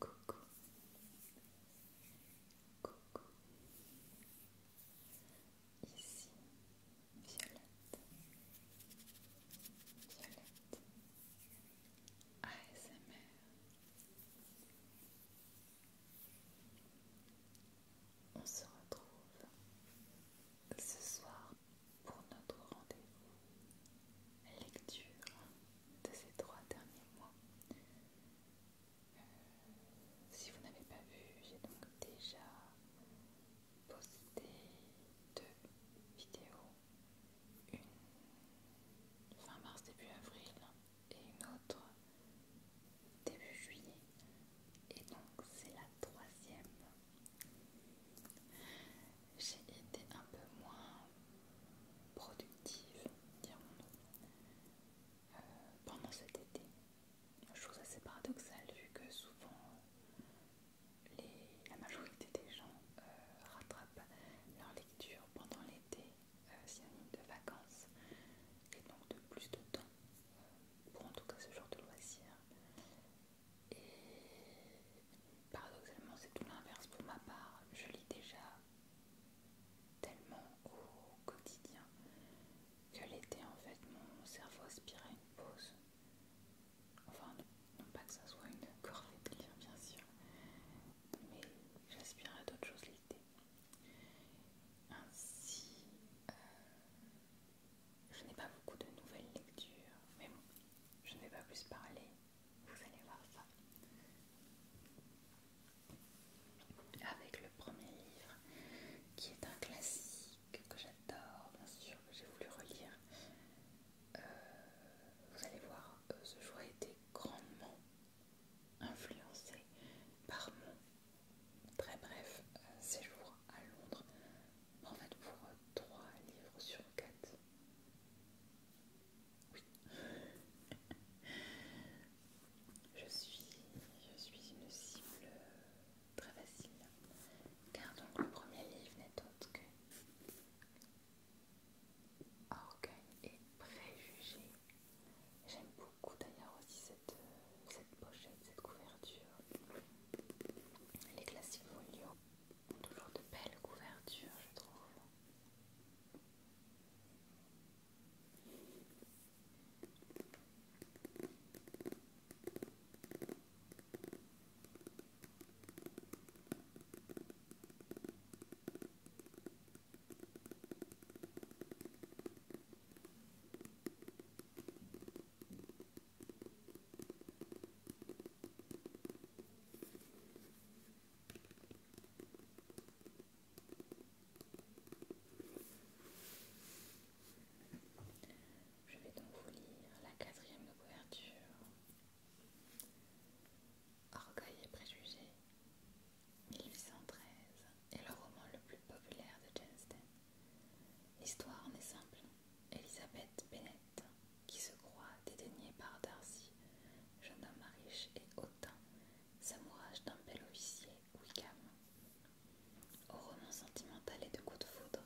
Coucou. Coucou. Ici, Violette. Violette. ASMR. On se retrouve ce soir pour notre rendez-vous lecture de ces trois derniers mois. Euh, si vous n'avez pas vu, j'ai donc déjà posté deux vidéos, une fin mars, début avril et une autre début juillet. Et donc c'est la troisième j'ai été un peu moins productive, dirons-nous, euh, pendant cet été. Chose assez paradoxale vu que souvent la majorité des gens euh, rattrapent leur lecture pendant l'été, euh, synonyme de vacances, et donc de plus de temps pour en tout cas ce genre de loisirs. Et paradoxalement, c'est tout l'inverse pour ma part. Je lis déjà tellement au quotidien que l'été, en fait, mon cerveau aspire à une pause. Enfin, non pas que ça soit une corvée de lire, bien sûr, mais j'aspire à d'autres choses l'été. Ainsi, euh, je n'ai pas beaucoup de nouvelles lectures, mais bon, je ne vais pas plus parler, vous allez voir ça. Avec le premier livre, qui est un classique que j'adore, bien sûr, que j'ai voulu relire. Euh, vous allez voir, euh, ce jour a été grandement influencé par mon très bref euh, séjour à Londres en fait pour 3 livres sur 4 oui je suis je suis une cible très facile car donc le premier livre n'est autre que Orgueil et préjugé. j'aime beaucoup d'ailleurs aussi cette, cette pochette cette couverture les classiques folio ont toujours de belles couvertures, je trouve. Je vais donc vous lire la quatrième couverture. Orgueil et préjugés, 1813, est le roman le plus populaire de Jensen. L'histoire en est simple. Elisabeth Bennett, qui se croit dédaignée par Darcy, jeune homme riche et hautain, s'amourage d'un bel officier, Wickham. Au roman sentimental et de coups de foudre,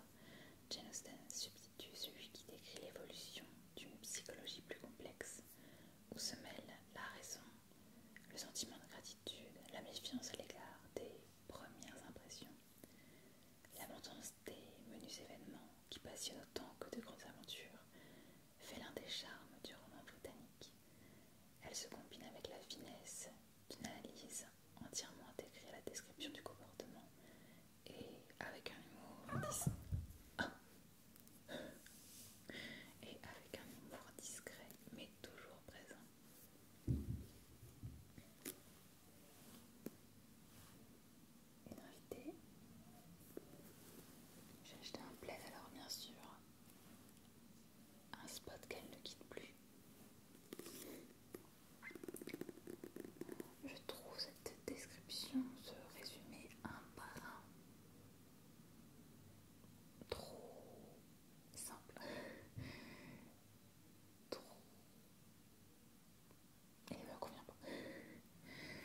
Jane Austen substitue celui qui décrit l'évolution d'une psychologie plus complexe, où se mêlent la raison, le sentiment de gratitude, la méfiance à l'égard des premières impressions L'abondance des menus événements qui passionnent autant que de grandes aventures fait l'un des charmes du roman britannique. Elle se combine avec la finesse d'une analyse entièrement intégrée à la description du comportement et avec un humour ah. et avec un humour discret mais toujours présent une invitée. J'ai acheté un plaid alors bien sûr. Un spot qu'elle ne quitte plus. Je trouve cette description, ce résumé un par un trop simple trop. Et il me convient pas.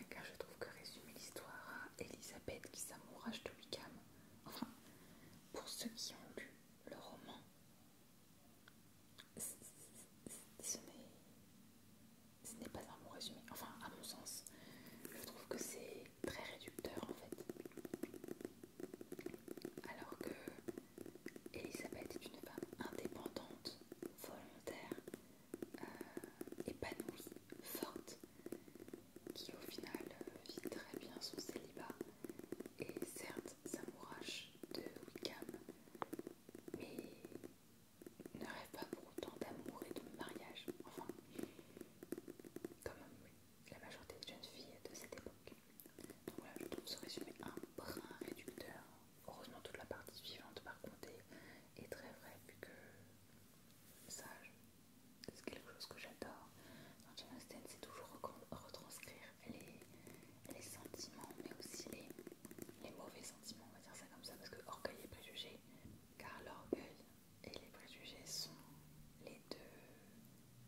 Car je trouve que résumer l'histoire à hein. Elisabeth qui s'amourage de Wickham, enfin, pour ceux qui ont lu le roman, ce n'est pas un bon résumé. Enfin, à mon sens, je trouve que c'est très réducteur en fait. Alors que Elisabeth est une femme indépendante, volontaire, euh, épanouie, forte, qui au final vit très bien son célibat. Et certes, s'amourache de Wickham, mais ne rêve pas pour autant d'amour et de mariage. Enfin, comme la majorité des jeunes filles de cette époque. Donc voilà, je trouve ce résumé un brin réducteur. Heureusement, toute la partie suivante, par contre, est, très vraie, puisque que ça, c'est quelque chose que j'adore. Dans Jane c'est toujours retranscrire les, sentiments, mais aussi les, les mauvais sentiments, on va dire ça comme ça, parce que orgueil et préjugé, car l'orgueil et les préjugés sont les deux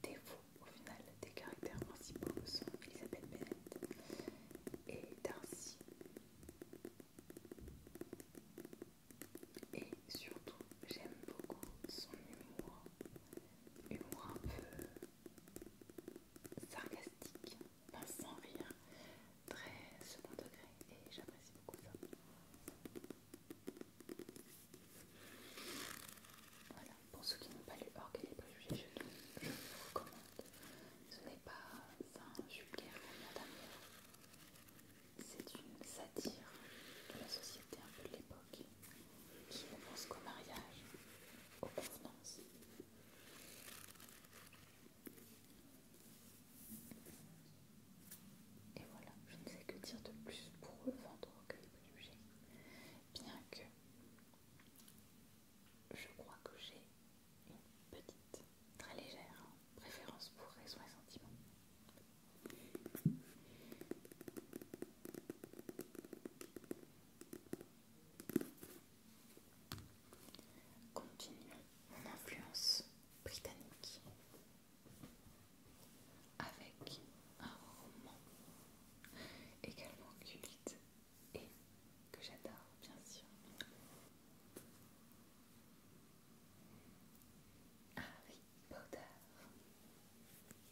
défaut au final des caractères principaux sont Elisabeth Bennett et Darcy et surtout j'aime beaucoup son humour humour un peu sarcastique sans rire très second degré et j'apprécie beaucoup ça voilà pour ceux qui n'ont pas lu Orgueil et préjugés, je, je vous recommande. Ce n'est pas un vulgaire roman d'amour, c'est une satire de la société un peu de l'époque qui ne pense qu'au mariage, aux convenances. Et voilà, je ne sais que dire de plus pour le vendre Orgueil et préjugés, bien que je crois que j'ai une petite, très légère préférence pour raison et sentiment. Continuons mon influence britannique avec un roman également culte et que j'adore bien sûr. Harry Potter.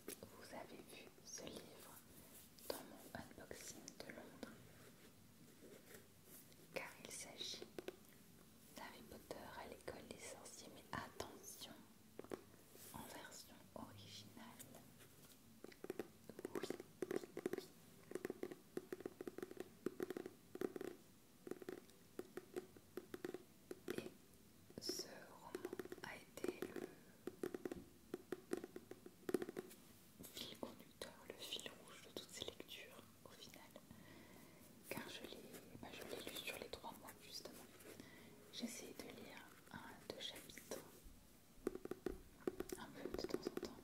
Vous avez vu ce livre dans mon unboxing de Londres car il s'agit d'Harry Potter à l'école des sorciers mais attention en version originale et ce roman a été le fil conducteur, le fil rouge de toutes ces lectures au final. Car je l'ai bah, lu sur les trois mois justement. J'ai essayé de lire un de chapitres, un peu de temps en temps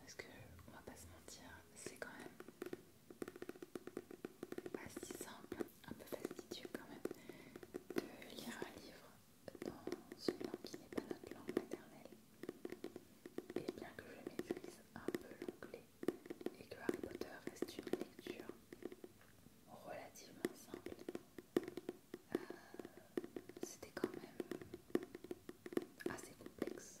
parce que on va pas se mentir c'est quand même pas si simple un peu fastidieux quand même de lire un livre dans une langue qui n'est pas notre langue maternelle et bien que je maîtrise un peu l'anglais et que Harry Potter reste une lecture relativement simple c'était quand même assez complexe.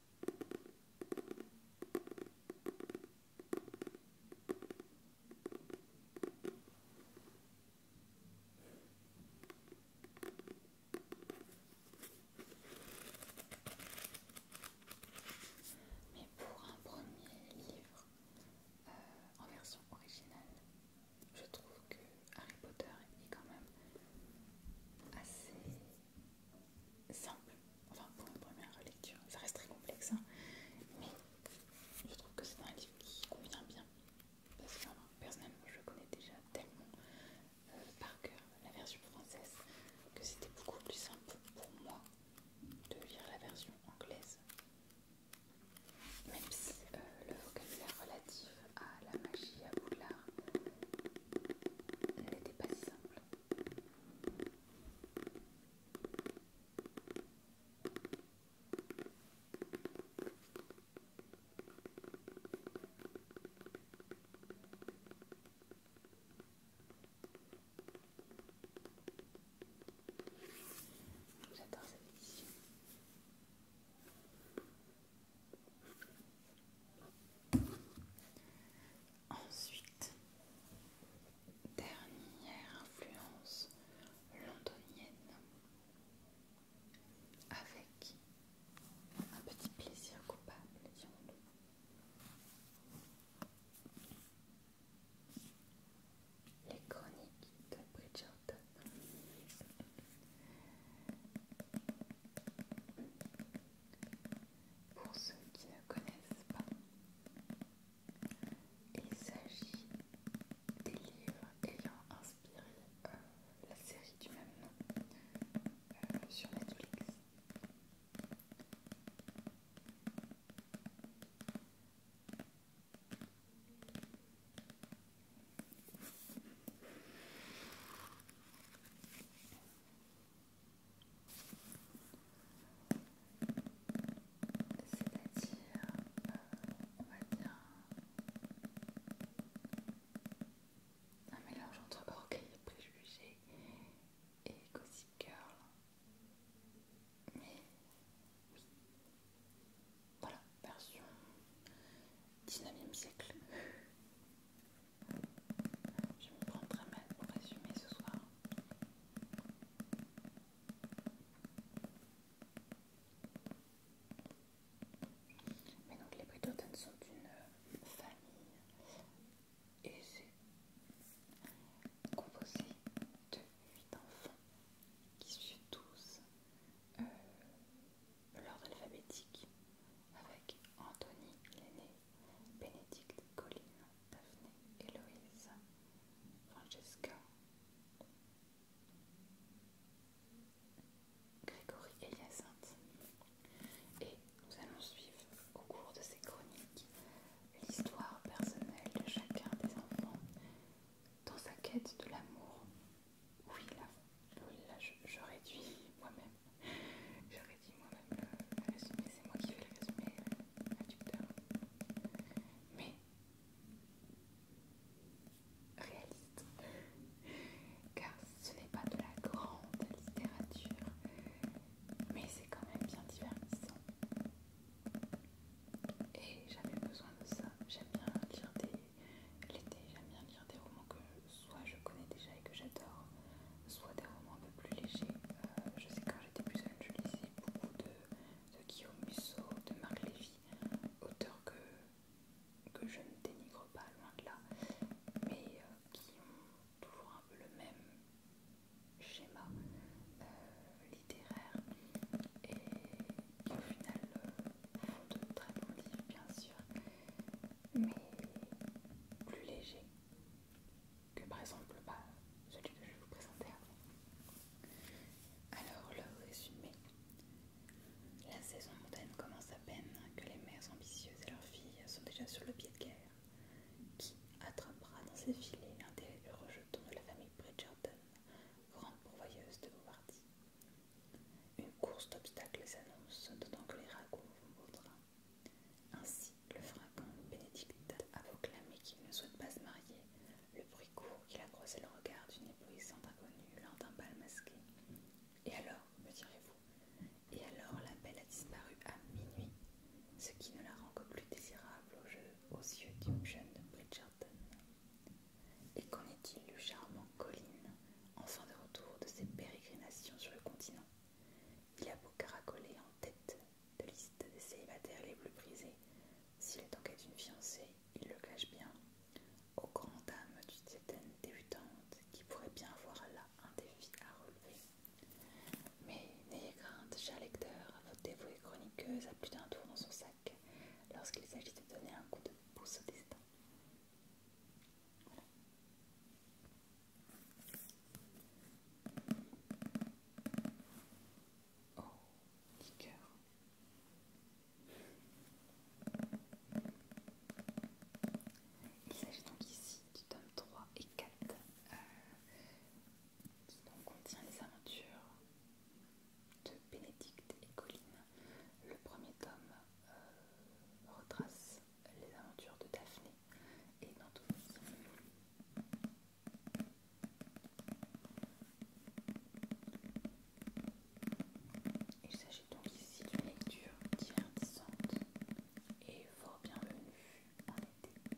Mais pour un premier livre euh, en version originale, je trouve que Harry Potter est quand même assez simple, enfin pour une première lecture, ça reste très complexe, hein. mais je trouve que c'est un livre qui convient bien, parce que personnellement je connais déjà tellement euh, par cœur la version française que c'était beaucoup plus simple pour moi de lire la version anglaise, même si euh, le vocabulaire relatif à ah, la magie à Elle n'était pas si simple. J'adore cette édition. Ensuite, dernière influence londonienne avec un petit plaisir coupable, Les chroniques de Bridgerton pour ceux qui ne connaissent pas, il s'agit des livres ayant inspiré euh, la série du même nom euh, sur Netflix. C'est-à-dire, on va dire un mélange entre orgueil et préjugés et gossip girl. Mais oui, voilà, version 19e siècle. Je me prends très mal pour résumer ce soir. Mais donc les Bridgerton sont une famille et c'est composé de 8 enfants qui suivent tous euh, l'ordre alphabétique avec Anthony l'aîné, Bénédicte, Colline, Daphné, Héloïse, Francesca, Grégory et Hyacinthe. Et nous allons suivre au cours de ces chroniques l'histoire personnelle de chacun des enfants dans sa quête de l'amour oui là, je, réduis moi-même je réduis moi-même la euh, le résumé c'est moi qui fais le résumé réducteur mais réaliste car ce n'est pas de la grande littérature mais c'est quand même bien divertissant et j'avais besoin de ça j'aime bien lire des l'été, j'aime bien lire des romans que soit je connais déjà et que j'adore, soit des romans un peu plus légers. Euh, je sais quand j'étais plus jeune, je lisais beaucoup de, Guillaume Musso, de Marc Lévy, auteurs que, je ne dénigre pas, loin de là, mais euh, qui ont toujours un peu le même schéma euh, littéraire et qui au final font de très bons livres bien sûr mais plus léger que par exemple bah, celui que je vais vous présenter avant. Alors le résumé. La saison mondaine commence à peine que les mères ambitieuses et leurs filles sont déjà sur le pied de guerre. Qui attrapera dans ses filets un des rejetons de la famille Bridgerton, grande pourvoyeuse de Bombardier une course d'obstacles s'annonce, d'autant que les ragots vont au Ainsi, le fringant Bénédicte a proclamé qu'il ne souhaite pas se marier. Le bruit court qu'il a croisé le regard d'une éblouissante inconnue lors d'un bal masqué. Et alors, me direz-vous, et alors la belle a disparu à minuit, ce qui ne la rend que plus désirable au jeu, aux yeux d'une jeune Bridgerton. Et qu'en est-il du charmant Colline, en fin de retour de ses pérégrinations sur le continent Il a beau caracoler en tête de liste des célibataires les plus prisés, s'il est en quête d'une fiancée, il le cache bien, aux grandes dames d'une certaine débutante qui pourrait bien avoir là un défi à relever. Mais n'ayez crainte, cher lecteur, votre dévouée chroniqueuse a plus d'un tour dans son sac lorsqu'il s'agit de donner un coup de pouce au destin. Oh, Il s'agit donc ici du tome 3 et 4 euh, qui contient les aventures de Bénédicte et Colline. Le premier tome euh, retrace les aventures de Daphné et d'Anthony. Il s'agit donc ici d'une lecture divertissante et fort bienvenue en été.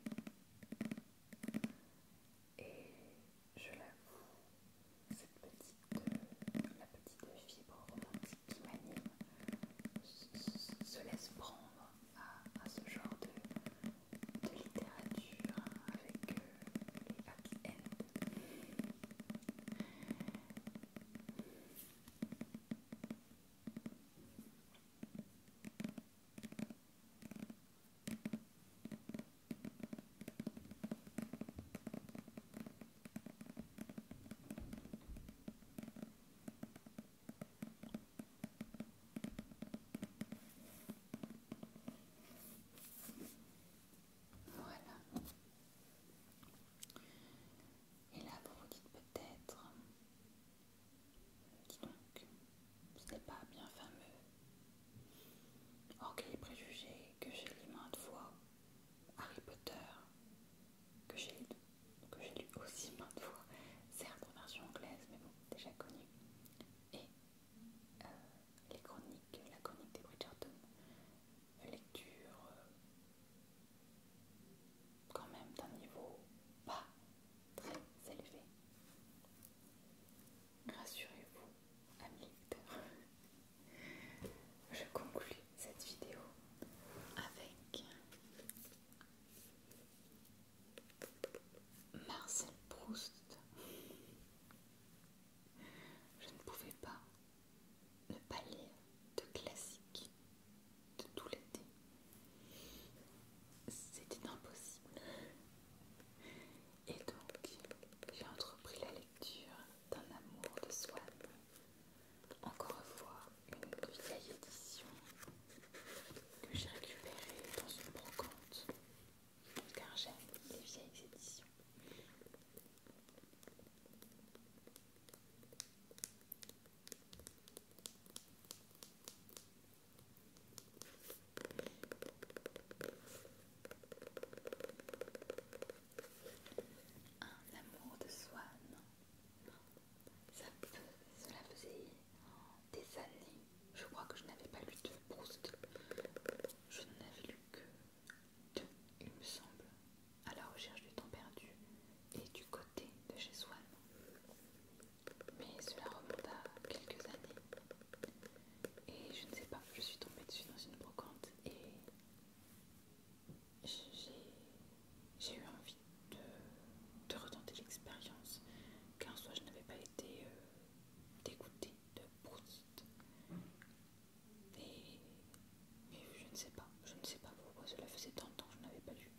Et je l'avoue, cette petite, la petite fibre romantique qui m'anime se, laisse prendre à, ce genre de, littérature avec les back end voilà. Et là, vous vous dites peut-être, euh, dis donc, ce n'est pas bien fameux. Or, quel préjugé que j'ai les mains de Harry Potter, que j'ai lu aussi maintes fois, certes en version anglaise, mais bon, déjà connu, et euh, les chroniques, la chronique des Bridgerton, lecture euh, quand même d'un niveau pas très élevé. Rassurez-vous, amis lecteurs, je conclue cette vidéo avec Marcel Proust. Je ne pouvais pas ne pas lire de classique de tout l'été. C'était impossible. Et donc, j'ai entrepris la lecture d'un amour de soi Encore une fois, une vieille édition que j'ai récupérée dans une brocante, car j'aime les vieilles éditions un amour de Swan, cela faisait des années, je crois que je n'avais pas lu de Proust, je n'avais lu que deux, il me semble, à la recherche du temps perdu et du côté de chez Swan, Mais cela remonte à quelques années. Et je ne sais pas, je suis tombée dessus dans une brocante et j'ai eu envie de, retenter l'expérience, car soit je n'avais pas été euh, dégoûtée de Proust. Et, mais je ne sais pas, je ne sais pas pourquoi cela faisait tant de temps que je n'avais pas lu.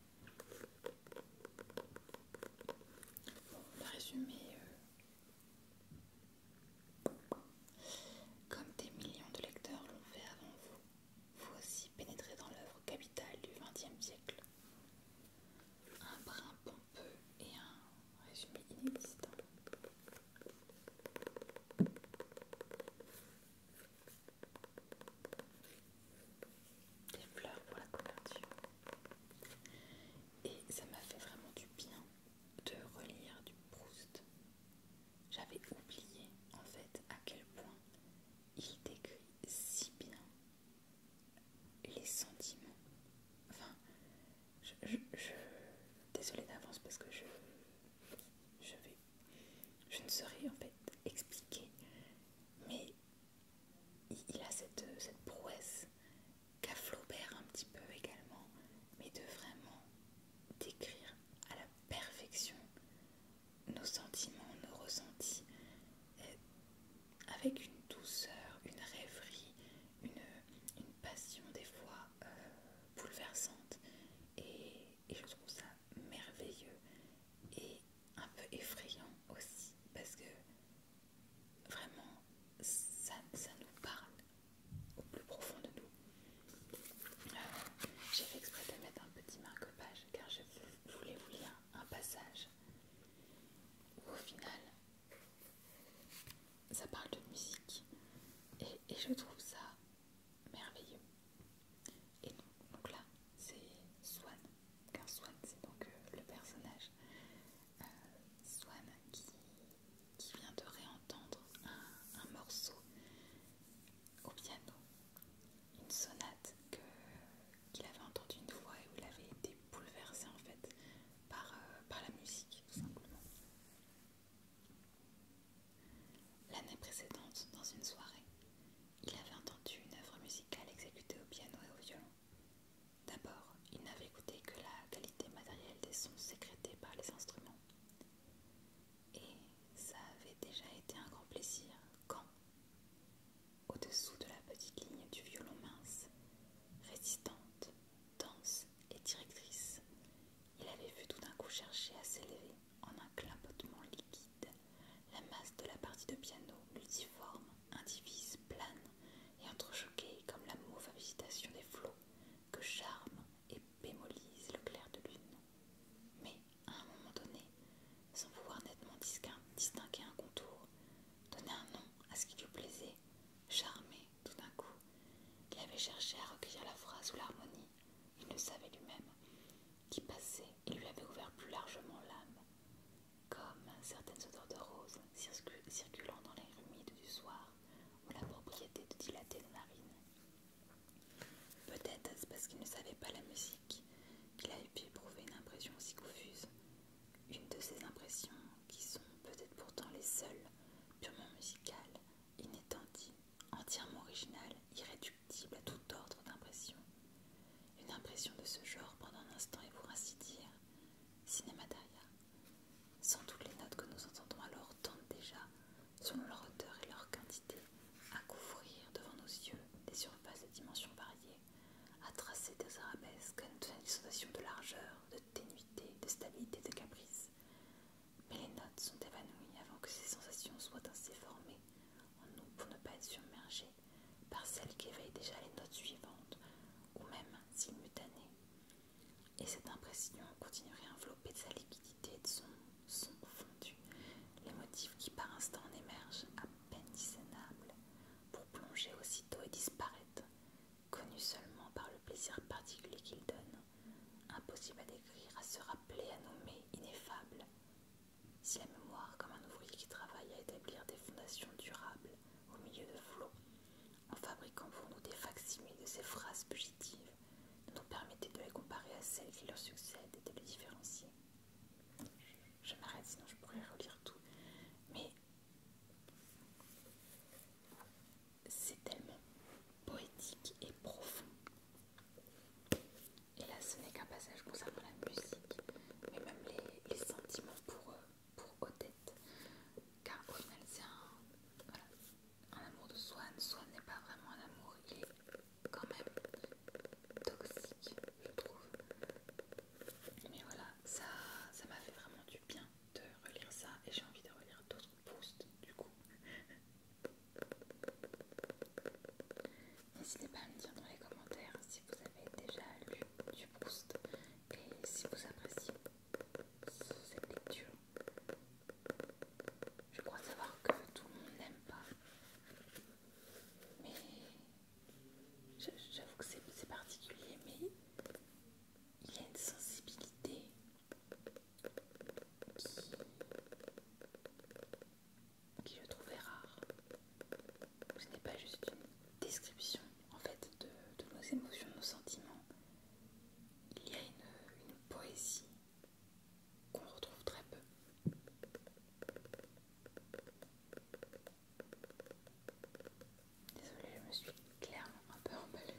Bon, le résumé euh, comme des millions de lecteurs l'ont fait avant vous, vous aussi pénétrez dans l'œuvre capitale du XXe siècle. Un brin pompeux et un résumé inexistant. Des fleurs pour la couverture. Et ça m'a fait vraiment du bien de relire du Proust j'avais oublié en fait à quel point il décrit si bien les sentiments. Enfin, je, désolée d'avance parce que je, vais, je ne saurais en fait expliquer, mais il, a cette, cette prouesse qu'a Flaubert un petit peu également, mais de vraiment décrire à la perfection nos sentiments, nos ressentis, euh, avec une douceur, une rêverie, une, passion des fois euh, bouleversante. Et, je trouve ça merveilleux et un peu effrayant aussi, parce que vraiment, ça, ça nous parle au plus profond de nous. Euh, j'ai fait exprès de mettre un petit marque-page car je voulais vous lire un passage où au final ça parle de musique et, je trouve ça merveilleux. Et donc, là c'est Swan, car Swan c'est donc euh, le personnage. Euh, Swan qui qui vient de réentendre un, morceau au piano, une sonate qu'il avait entendue une fois et où il avait été bouleversé en fait par, euh, par la musique tout simplement. L'année précédente, dans une soirée, il avait entendu une œuvre musicale exécutée au piano et au violon. D'abord, il n'avait écouté que la qualité matérielle des sons sécrétés par les instruments. Et ça avait déjà été un grand plaisir quand, au-dessous de la petite ligne du violon mince, résistante, dense et directrice, il avait vu tout d'un coup chercher à s'élever en un clapotement liquide la masse de la partie de piano multiforme, indivise, plane et entrechoquée comme la mauve visitation des flots que charme et bémolise le clair de lune. Mais, à un moment donné, sans pouvoir nettement distinguer un contour, donner un nom à ce qui lui plaisait, charmer, tout d'un coup, il avait cherché à recueillir la phrase ou l'harmonie, il le savait lui-même, qui passait et lui avait ouvert plus largement l'âme, comme certaines odeurs de roses circulant dans l'air humide du soir ou la propriété de dilater les narines. Peut-être parce qu'il ne savait pas la musique qu'il avait pu éprouver une impression aussi confuse, une de ces impressions qui sont peut-être pourtant les seules, purement musicales, inétendues, entièrement originales, irréductibles à tout ordre d'impression. Une impression de ce genre pendant un instant est pour ainsi dire cinémataria, sans doute les notes que nous entendons alors tentent déjà, selon leur hauteur et leur quantité, à couvrir devant nos yeux des surfaces de dimensions variées, à tracer des arabesques à des sensations de largeur, de ténuité, de stabilité, de caprice. Mais les notes sont évanouies avant que ces sensations soient ainsi formées en nous pour ne pas être submergées par celles qui éveillent déjà les notes suivantes, ou même simultanées, et cette impression continuerait à envelopper de sa liquidité et de son son fondu, les motifs qui par instant en émergent à peine discernables, pour plonger aussitôt et disparaître, connus seulement par le plaisir particulier qu'ils donnent, impossible à décrire, à se rappeler, à nommer, ineffable. Si la mémoire, comme un ouvrier qui travaille à établir des fondations durables au milieu de flots, en fabriquant pour nous des facsimiles de ces phrases fugitives, nous nous permettait de les comparer à celles qui leur succèdent et de les différencier. Je m'arrête, sinon je pourrais relire tout. Mais c'est tellement poétique et profond. Et là, ce n'est qu'un passage concernant la musique, mais même les, sentiments pour, eux pour Odette, car au final c'est un, amour de Swan. Swan n'est pas vraiment un amour, il est quand même toxique, je trouve. Mais voilà, ça ça m'a fait vraiment du bien de relire ça et j'ai envie de relire d'autres boosts, du coup. N'hésitez pas à me dire dans les commentaires si vous avez déjà lu du boost et si vous appréciez cette lecture. Je crois savoir que tout le monde n'aime pas. Mais j'avoue que c'est particulier, mais il y a une sensibilité qui, qui je trouvais rare. Ce n'est pas juste une description en fait, de, nos émotions, de nos sentiments, il y a une poésie qu'on retrouve très peu. Désolée, je me suis clairement un peu emballée.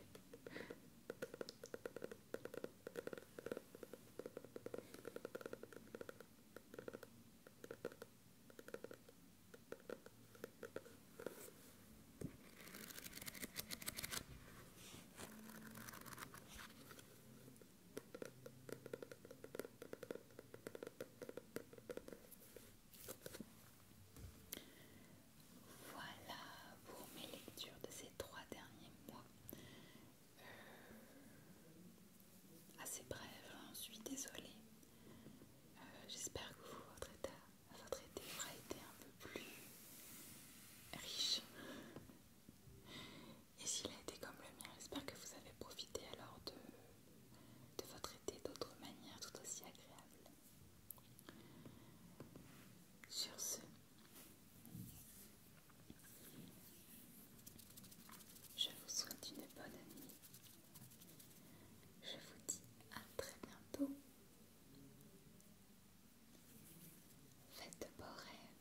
Voilà pour mes lectures de ces trois derniers mois. Euh, assez brève, hein, je suis désolée. Euh, j'espère que vous, votre tard votre été aura été un peu plus riche. Et s'il a été comme le mien, j'espère que vous avez profité alors de, votre été d'autres manières tout aussi agréables. Sur ce, je vous souhaite une bonne nuit. Je vous dis à très bientôt Faites de beaux rêves.